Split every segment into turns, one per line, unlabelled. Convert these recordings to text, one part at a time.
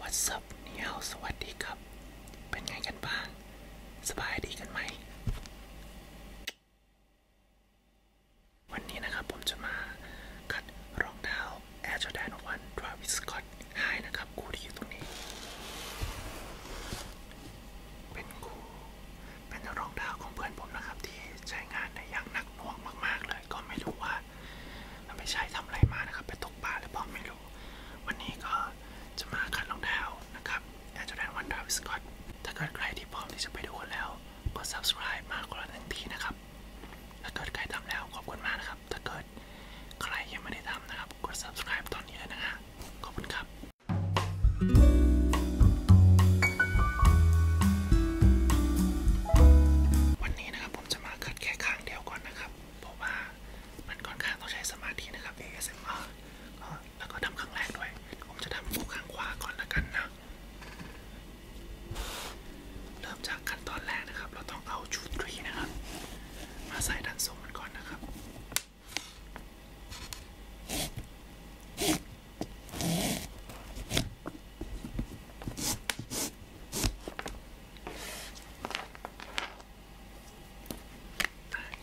What's up นี่เฮาสวัสดีครับ เป็นไงกันบ้างสบายดีกันไหมวันนี้นะครับผมจะมาคัดรองเท้า Air Jordan 1 Travis Scott ดหนะครับคูที่อยู่ตรงนี้ เป็นคูเป็นรองเท้ของเพื่อนผมนะครับ ที่ใช้งานในย่างนักหนวงมากๆเลยก็ไม่รู้ว่ามันไปใช้ทํอะไรมานะครับ ไปตกปลาหรือเปล่าไม่รู้ วันนี้ก็จะมาคัดรองเท้นะครับแอร์จอแดนวันดาวิสกอตถ้าเกิดใครที่พร้อมที่จะไปดูแล้วกด subscribe มากกว่าหนึ่งทีนะครับ ถ้าเกิดใครทำแล้ว ขอบคุณมากนะครับถ้าเกิดใครยังไม่ได้ทำนะครับ กด subscribe ตอนนี้เลยนะฮะขอบคุณครับ วันนี้นะครับผมจะมาคัดแค่ข้างเดียวก่อนนะครับ เพราะว่ามันค่อนข้างต้องใช้สมาธินะครับ ASMR แล้วก็ทำข้างแรกด้วย ผมจะทำคู่ข้างขวาก่อนละกันนะ เริ่มจากขั้นตอนแรกนะครับ เราต้องเอาชุดรีนะครับมาใส่ดันทรงมันก่อนนะครับ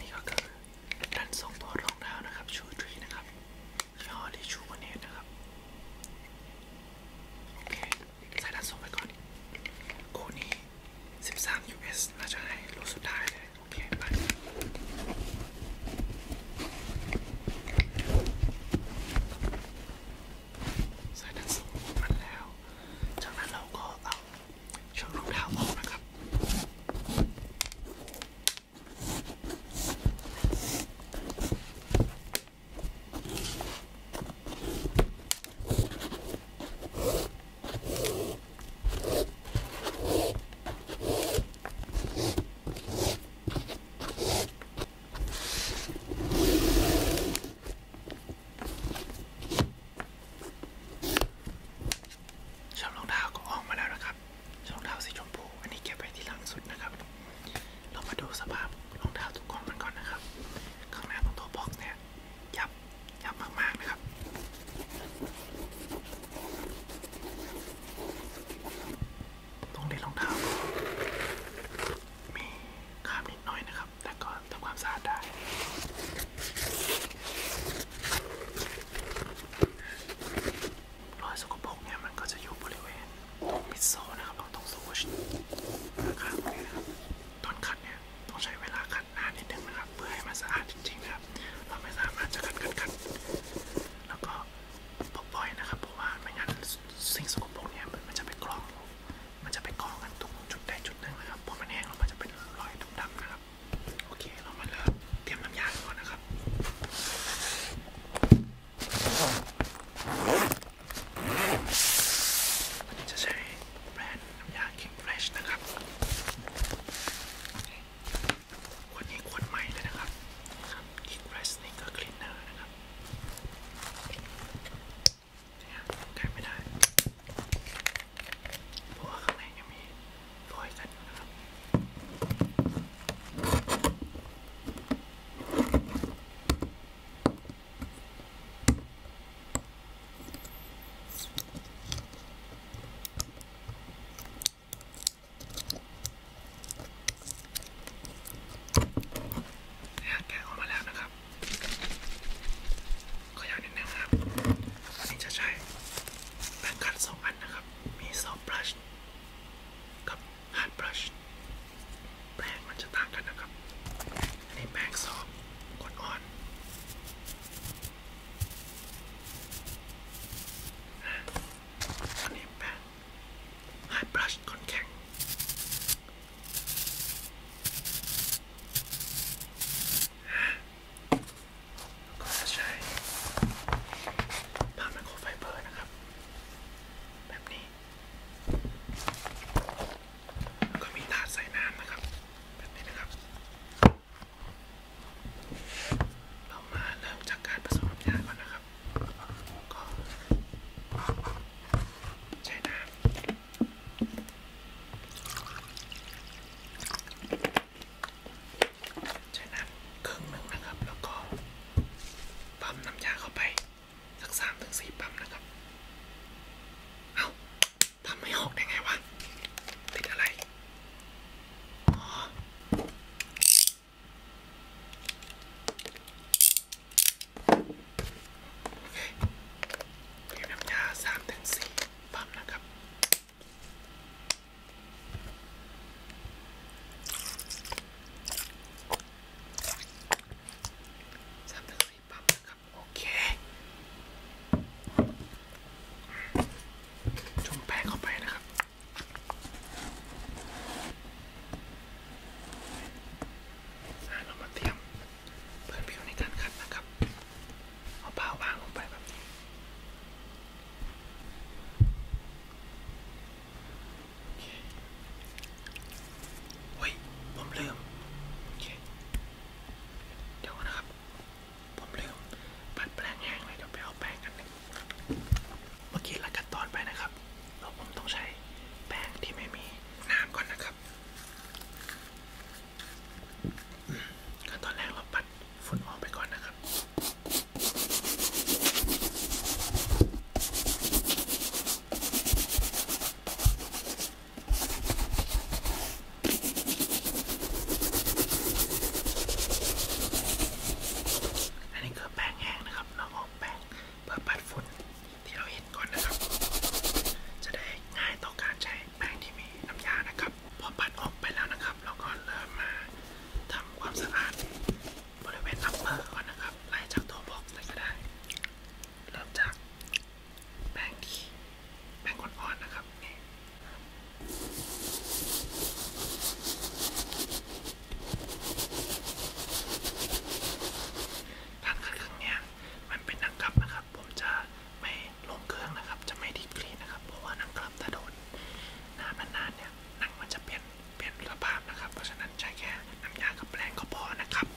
นี่ก็คือดันทรงตัวรองเท้านะครับ ชูทรีนะครับยี่ห้อที่ชูวันเนตนะครับ โอเคใส่ด้านสูงไปก่อนคู่นี้13 US น่าจะให้รูสุดท้ายเลย โอเค ไป ใส่ด้านสูงมันแล้ว จากนั้นเราก็เอาเชือกรองเท้าออกนะครับชอบรองเท้าก็ออกมาแล้วนะครับชอบรองเท้าสีชมพู อันนี้เก็บไว้ที่หลังสุดนะครับ เรามาดูสภาพรองเท้าทุกคนมันก่อนนะครับข้างหน้าของตัวบ็อกเนี่ยยับยับมาก ๆ นะครับต้องเล่นรองเท้า มีคราบนิดหน่อยนะครับ แต่ก็ทำความสะอาดได้ รอยสกปรกเนี่ยมันก็จะอยู่บริเวณตรงมิดโซ นะครับตรงตรงโซชข้างๆเลยนะครับตอนขัดเนี่ยต้องใช้เวลาขัดนานนิดนึงนะครับ เพื่อให้มันสะอาดจริงๆนะครับ เราไม่สามารถจะขัดขัดขัดแล้วก็ปล่อยนะครับ เพราะว่าไม่งั้นสิ่งสกปรกเนี่ยมันจะไปกรอง มันจะไปกรองกันทุกจุดใดจุดหนึ่งนะครับพอมันแห้งแล้วมันจะเป็นรอยดำๆนะครับโอเคเรามาเริ่มเตรียมน้ำยาก่อนนะครับจะใช้แบรนด์น้ำยาคิงเฟรชนะครับขวดนี้ขวดใหม่เลยนะครับคิงเฟรชนี่ก็คลีนเนอร์นะครับเนี่ยใกล้ไม่ได้เพราะว่าข้างในยังมีรอยกันนะครับเนี่ยแกะออกมาแล้วนะครับขยับนิดนึงครับอันนี้จะใช้แปรงขัดสองอันนะครับ มีซอฟต์บลัชกับฮาร์ดบลัชแป้งมันจะต่างกันนะครับ อันนี้แป้งซอฟกดอ่อน อันนี้แป้งไฮบลัชคอนแข็ง ก็จะใช้ผ้าไมโครไฟเบอร์นะครับ แบบนี้ก็มีถาดใส่น้ำนะครับแบบนี้นะครับ เรามาเริ่มจากการผสมน้ำยาก่อนนะครับก็ใช้น้ำใช้น้ำครึ่งหนึ่งนะครับแล้วก็ปั๊มน้ำยาเข้าไปสักสามถึงสี่ปั๊มนะครับ เอา้าทำไม่ออกได้ไงวะ ติดอะไรอ๋อโอเคเดี๋ยวน้ำยาสามถึงสี่ปั๊มนะครับสามถึงสี่ปั๊บนะครับ โอเคจุ่มแป้งเข้าไปนะครับเรามาเตรียมเพื่อนผิวในการขัดนะครับ เอาเปล่าวางลงไปแบบนี้เฮ้ย ผมลืมโอเค เดี๋ยวนะครับ ผมลืมปัดแปรงแห้งเลยเดี๋ยวไปเอาแป้งกันหนึ่งเมื่อกี้ละกันตอนไปนะครับ เราผมต้องใช้แป้งที่ไม่มีน้ำก่อนนะครับ ขั้นตอนแรกเราปัดฝุ่นออกไปก่อนนะครับอันนี้คือแป้งแห้งนะครับ เราเอาแป้งเพื่อปัดฝุ่นที่เราเห็นก่อนนะครับ จะได้ง่ายต่อการใช้แป้งที่มีน้ำยานะครับพอปัดออกไปแล้วนะครับ เราก็เริ่มมาทำความสะอาด บริเวณอัปเปอร์ก่อนนะครับไล่จากตัวบ็อกซ์เลยก็ได้ เริ่มจากแป้งขี้แป้งอ่อนๆนะครับนี่การคัดเครื่องเนี่ยมันเป็นนังกลับนะครับ ผมจะไม่ลงเครื่องนะครับจะไม่ดีกรีนะครับ เพราะว่านังกลับถ้าโดนน้ำนานๆเนี่ยหนังมันจะเปลี่ยนเปลี่ยนสภาพนะครับเพราะฉะนั้นนั้นใช้แค่น้ำยากับแปรงก็พอนะครับ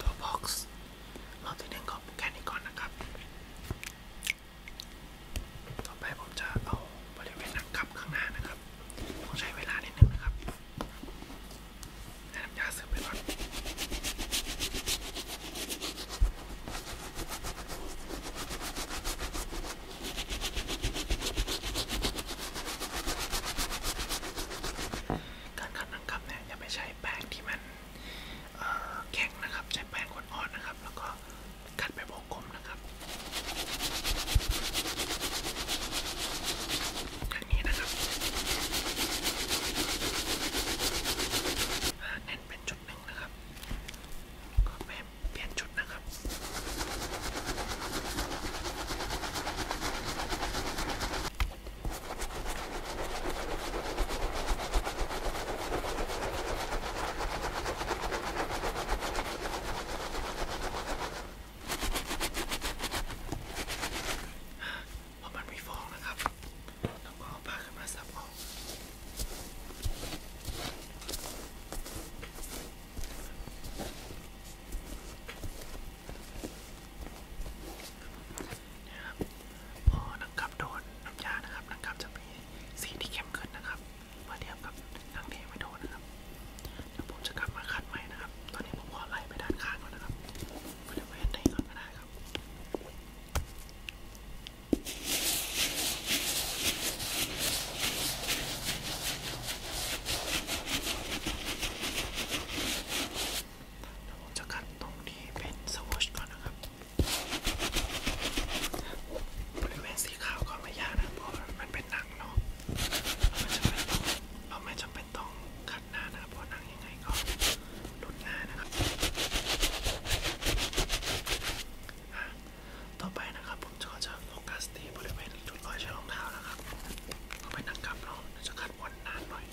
ตัวบ็อกซ์รอบที่หนึ่งก็แค่นี้ก่อนนะครับ ต่อไปผมจะเอาบริเวณหนังกลับข้างหน้านะครับต้องใช้เวลานิดนึงนะครับน้ำยาซื้อไปก่อนการขับน้ำกับเนี่ย อย่าไปใช้แป้งที่มันแข็งนะครับ ใช้แป้งอ่อนๆนะครับ แล้วก็กัดไปวงกลมนะครับอย่างนี้นะครับแน่นเป็นจุดหนึ่งนะครับ ก็แม่เปลี่ยนจุดนะครับเพราะมันไม่ฟองนะครับแล้วก็เอาผ้าขึ้นมาซับออกนะครับพอนังกับโดนน้ำยานะครับนังกับจะมีสีที่เข้มขึ้นนะครับ เมื่อเทียบกับทั้งที่ไม่โดนนะครับ เดี๋ยวผมจะกลับมาคัดใหม่นะครับ ตอนนี้ผมขอไล่ไปด้านข้างก่อนนะครับบริเวณไหนก่อนก็ได้นะครับแล้วผมจะคัดตรงนี้เป็นสวอชก่อนนะครับบริเวณสีขาวก็ไม่ยากนะ เพราะมันเป็นหนังเนาะเราไม่จำเป็นต้องเราไม่จำเป็นต้องคขัดหน้านะครับเพราะนั่งยังไงก็หลุดหน้านะครับ ต่อไปนะครับ ผมจะจะโฟกัส ที่บริเวณจุดรอยเชือกรองเท้านะครับก็ไปนั่งกับรองจะขัดวันนานหน่อย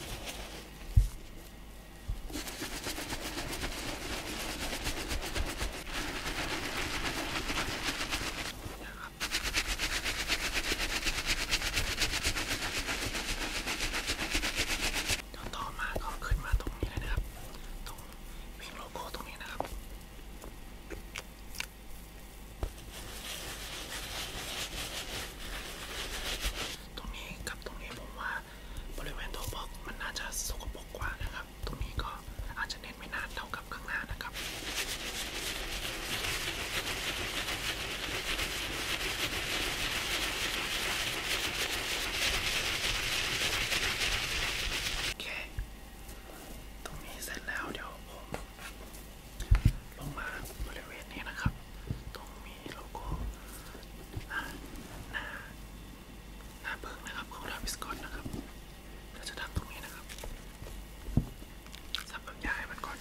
นะครับต่อมาก็ขึ้นมาตรงนี้เลยนะครับ ตรงวิ่งโลโก้ตรงนี้นะครับ ตรงนี้กับตรงนี้ผมว่าบริเวณตัวบล็อกมันน่าจะสกปรกกว่านะครับ ตรงนี้ก็อาจจะเน้นไม่นานเท่ากับข้างหน้านะครับโอเคตรงนี้เสร็จแล้วเดี๋ยวผมลงมาบริเวณนี้นะครับ ตรงมีโลโก้หน้าหน้าเบิกนะครับ ของลาวิสกอนนะครับ เราจะทำตรงนี้นะครับสับลำไยมันก่อน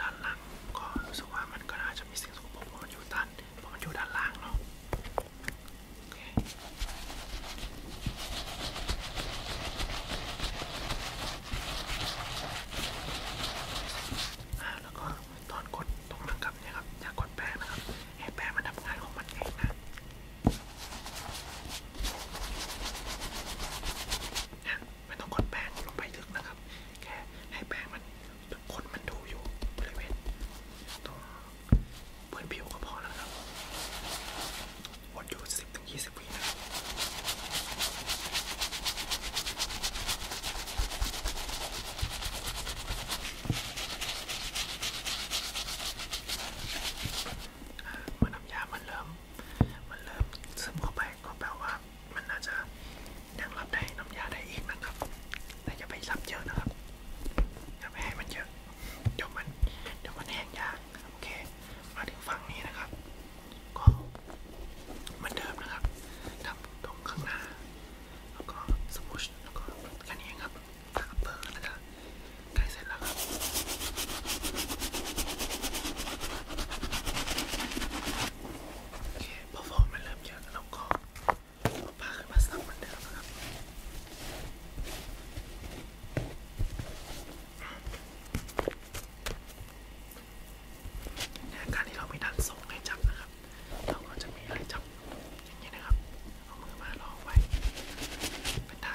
ด้านหลังก็รู้สึกว่ามันก็น่าจะมีสิ่งสกปรกเพราะมันอยู่ด้านเพราะมันอยู่ด้านล่างเนาะโอเคอ่าแล้วก็ตอนกดตรงหลังกลับเนี่ยครับ อย่ากดแป้งนะครับ ให้แป้งมันทำงานของมันเองนะนะไม่ต้องกดแป้งลงไปลึกนะครับ แค่ให้แป้งมันคนมันดูอยู่บริเวณตรงพื้นผิวก็พอแล้วครับวนอยู่สิบถึงยี่สิบวินะเมื่อน้ำยามันเริ่มมันเริ่มซึมเข้าไปก็แปลว่า มันน่าจะยังรับได้น้ำยาได้อีกนะครับ แต่อย่าไปรับเยอะนะครับอย่าไปให้มันเยอะเดี๋ยวมันเดี๋ยวมันแห้งยากโอเค มาถึงฝั่งนี้นะครับ ก็เหมือนเดิมนะครับทำตรงข้างหน้าแล้วก็สมูชแล้วก็แค่นี้ครับอัปเปอร์แล้วก็ใกล้เสร็จแล้วครับโอเคพอฟองมันเริ่มเยอะเราก็พาขึ้นมาสักเหมือนเดิมนะครับในการที่เราไม่ดันส่งให้จับนะครับเราก็จะมีอะไรจับอย่างนี้นะครับเอามือมาลองไว้เป็นท่า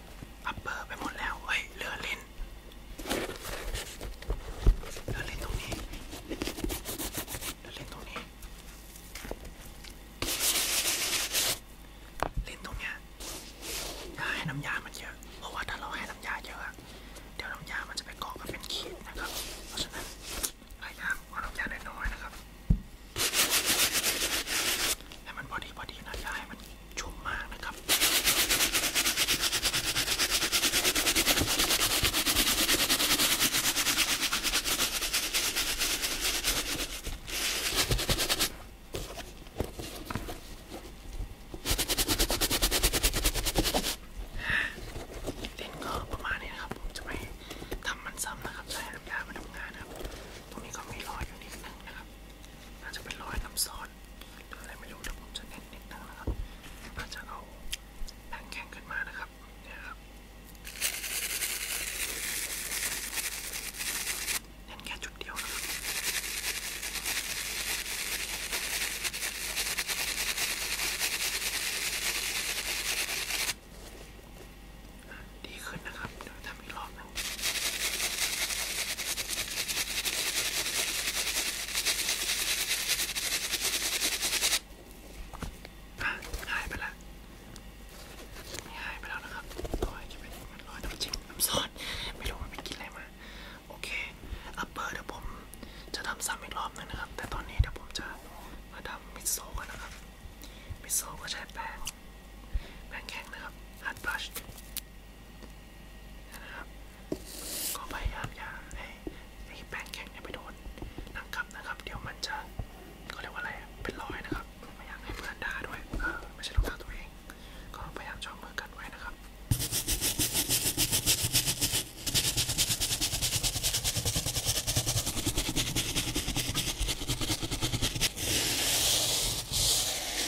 อัปเปอร์ไปหมดแล้วเฮ้ยเรือเล่นเรือเล่นตรงนี้เรือเล่นตรงนี้ เล่นตรงเนี้ยอย่าให้น้ำยามันเยอะ เพราะว่าถ้าเราให้น้ำยาเยอะ เดี๋ยวน้ำยามันจะไปเกาะกันเป็นขีดนะครับ เพราะฉะนั้นพยายามเอาน้ำยาน้อยๆนะครับ ให้มันพอดีพอดีนะ อย่าให้มันชุ่มมากนะครับดินก็ประมาณนี้นะครับ ผมจะไปทำมันซ้ำนะครับใช้น้ำามาทำงานนะครับ ตรงนี้ก็มีรอยอยู่นิดนึงนะครับนาจะเป็นรอยน้ำซอสอนหรืออะไรไม่รู้แต่ผมจะเน้นนิดนึงนะครับก็จะเอาแป้งแข็งขึ้นมานะครับ เนี่ยครับเน้นแค่จุดเดียวนะครับดีขึ้นนะครับ เดี๋ยวทำอีกรอบนะหายไปแล้วหายไปแล้วนะครับตัวจะเป็นมันลอยตัวจริงน้ำซอสไม่รู้มันไปกินอะไรมา โอเค อัปเปอร์เดี๋ยวผมจะทำซ้ำอีกรอบนึงนะครับ แต่ตอนนี้เดี๋ยวผมจะมาทำมิโซะกันนะครับ มิโซะก็ใช้แป้งแป้งแข็งนะครับฮัตบลัชนะครับก็พยายามอย่าให้ไอ้แป้งแข็งเนี่ยไปโดนหนังกลับนะครับ เดี๋ยวมันจะก็เรียกว่าอะไรเป็นรอยนะครับไม่อยากให้เพื่อนด่าด้วยเออไม่ใช่รองเท้าตัวเองก็พยายามจองมือกันไว้นะครับเ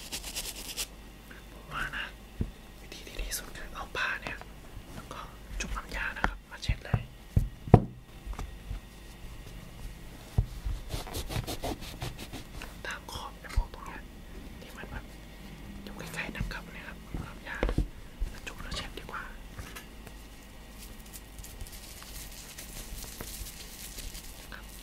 ผมว่านะวิธีที่ดีสุดคือเอาผ้าเนี่ยแล้วก็จุ่มน้ำยานะครับ มาเช็ดเลยตามขอบไอ้พวกตรงเนี้ย ที่มันแบบอยู่ใกล้ๆน้ำกับเนี่ยครับน้ำยาแล้วจุ่มแล้วเช็ดดีกว่า ครับ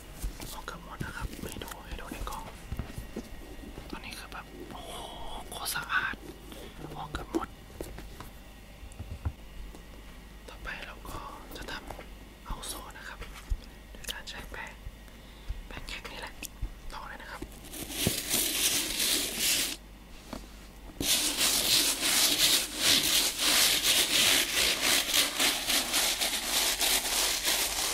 เอาเกือบหมดนะครับไม่ดูให้ดูในกล้องตอนนี้คือแบบโอ้โหโคตรสะอาดออกเกือบหมด ต่อไปเราก็จะทำเอาโซ่นะครับโดยการใช้แป้งแป้งแข็งนี่แหละต่อเลยนะครับ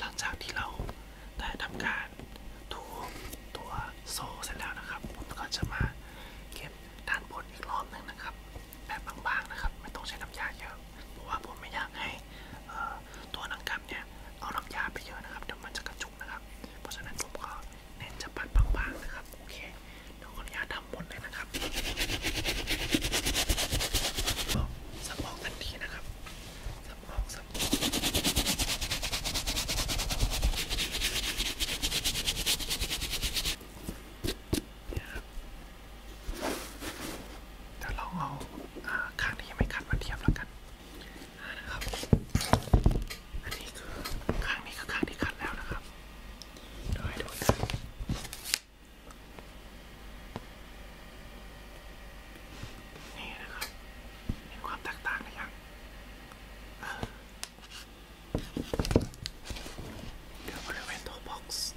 หลังจากที่เราได้ทำการถูตัวโซ่เสร็จแล้วนะครับ ผมก็จะมาเก็บด้านบนอีกรอบหนึ่งนะครับ แบบบางๆนะครับไม่ต้องใช้น้ำยาเยอะ เพราะว่าผมไม่อยากให้ตัวหนังกลับเนี่ย เอาน้ำยาไปเยอะนะครับ เดี๋ยวมันจะกระจุกนะครับ เพราะฉะนั้นผมก็เน้นจะปัดบางๆนะครับ โอเคเดี๋ยวขออนุญาตทำหมดเลยนะครับสับออกทันทีนะครับสับออกสับออกเนี่ยครับจะลองเอาข้างที่ยังไม่ขัดมาเทียบแล้วกันนะครับอันนี้คือข้างนี้คือข้างที่คัดแล้วนะครับเดี๋ยวให้ดูนะนี่นะครับเห็นความแตกต่างกันยังเออเดี๋ยวบริเวณตัวบ็อกซ์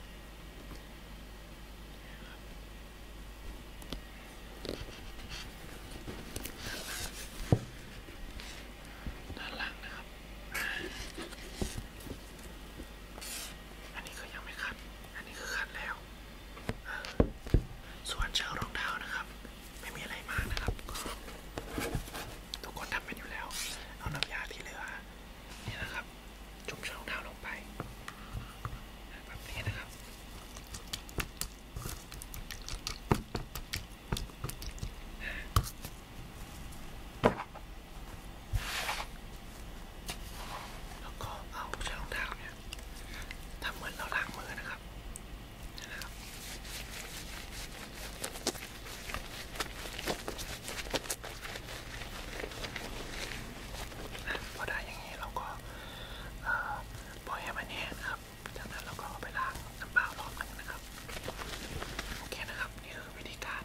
ด้านหลังนะครับอันนี้คือยังไม่คัด อันนี้คือคัดแล้ว ส่วนเชือกรองเท้านะครับ ไม่มีอะไรมากนะครับ ทุกคนทำเป็นอยู่แล้ว เอาน้ำยาที่เหลือ นี่นะครับ จุ่มเชือกรองเท้าลงไป แบบนี้นะครับแล้วก็เอาใช้รองเท้าเนี่ยทำเหมือนเราล้างมือนะครับนะครับ พอได้อย่างนี้เราก็ปล่อยให้มันแห้งครับจากนั้นเราก็ไปล้างน้ำเปล่ารอบหนึ่งนะครับ โอเคนะครับ นี่คือวิธีการ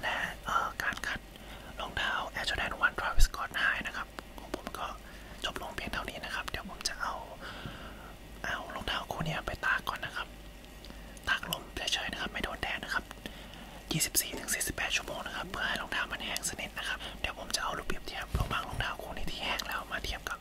และเอการคัดรองเท้า Air Jordan 1 Travis Scott High นะครับของผมก็จบลงเพียงเท่านี้นะครับ เดี๋ยวผมจะเอาเอารองเท้าคู่นี้ไปตากก่อนนะครับ ตากลมเฉยๆนะครับไม่โดนแดดนะครับ 24-48 ชั่วโมงนะครับ เพื่อให้รองเท้ามันแห้งสนิทนะครับ เดี๋ยวผมจะเอารูปเปรียบเทียบรองบางรองเท้าคู่นี้ที่แห้งแล้วมาเทียบกับ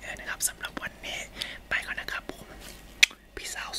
เออนะครับสำหรับวันนี้ไปก่อนนะครับผม peace out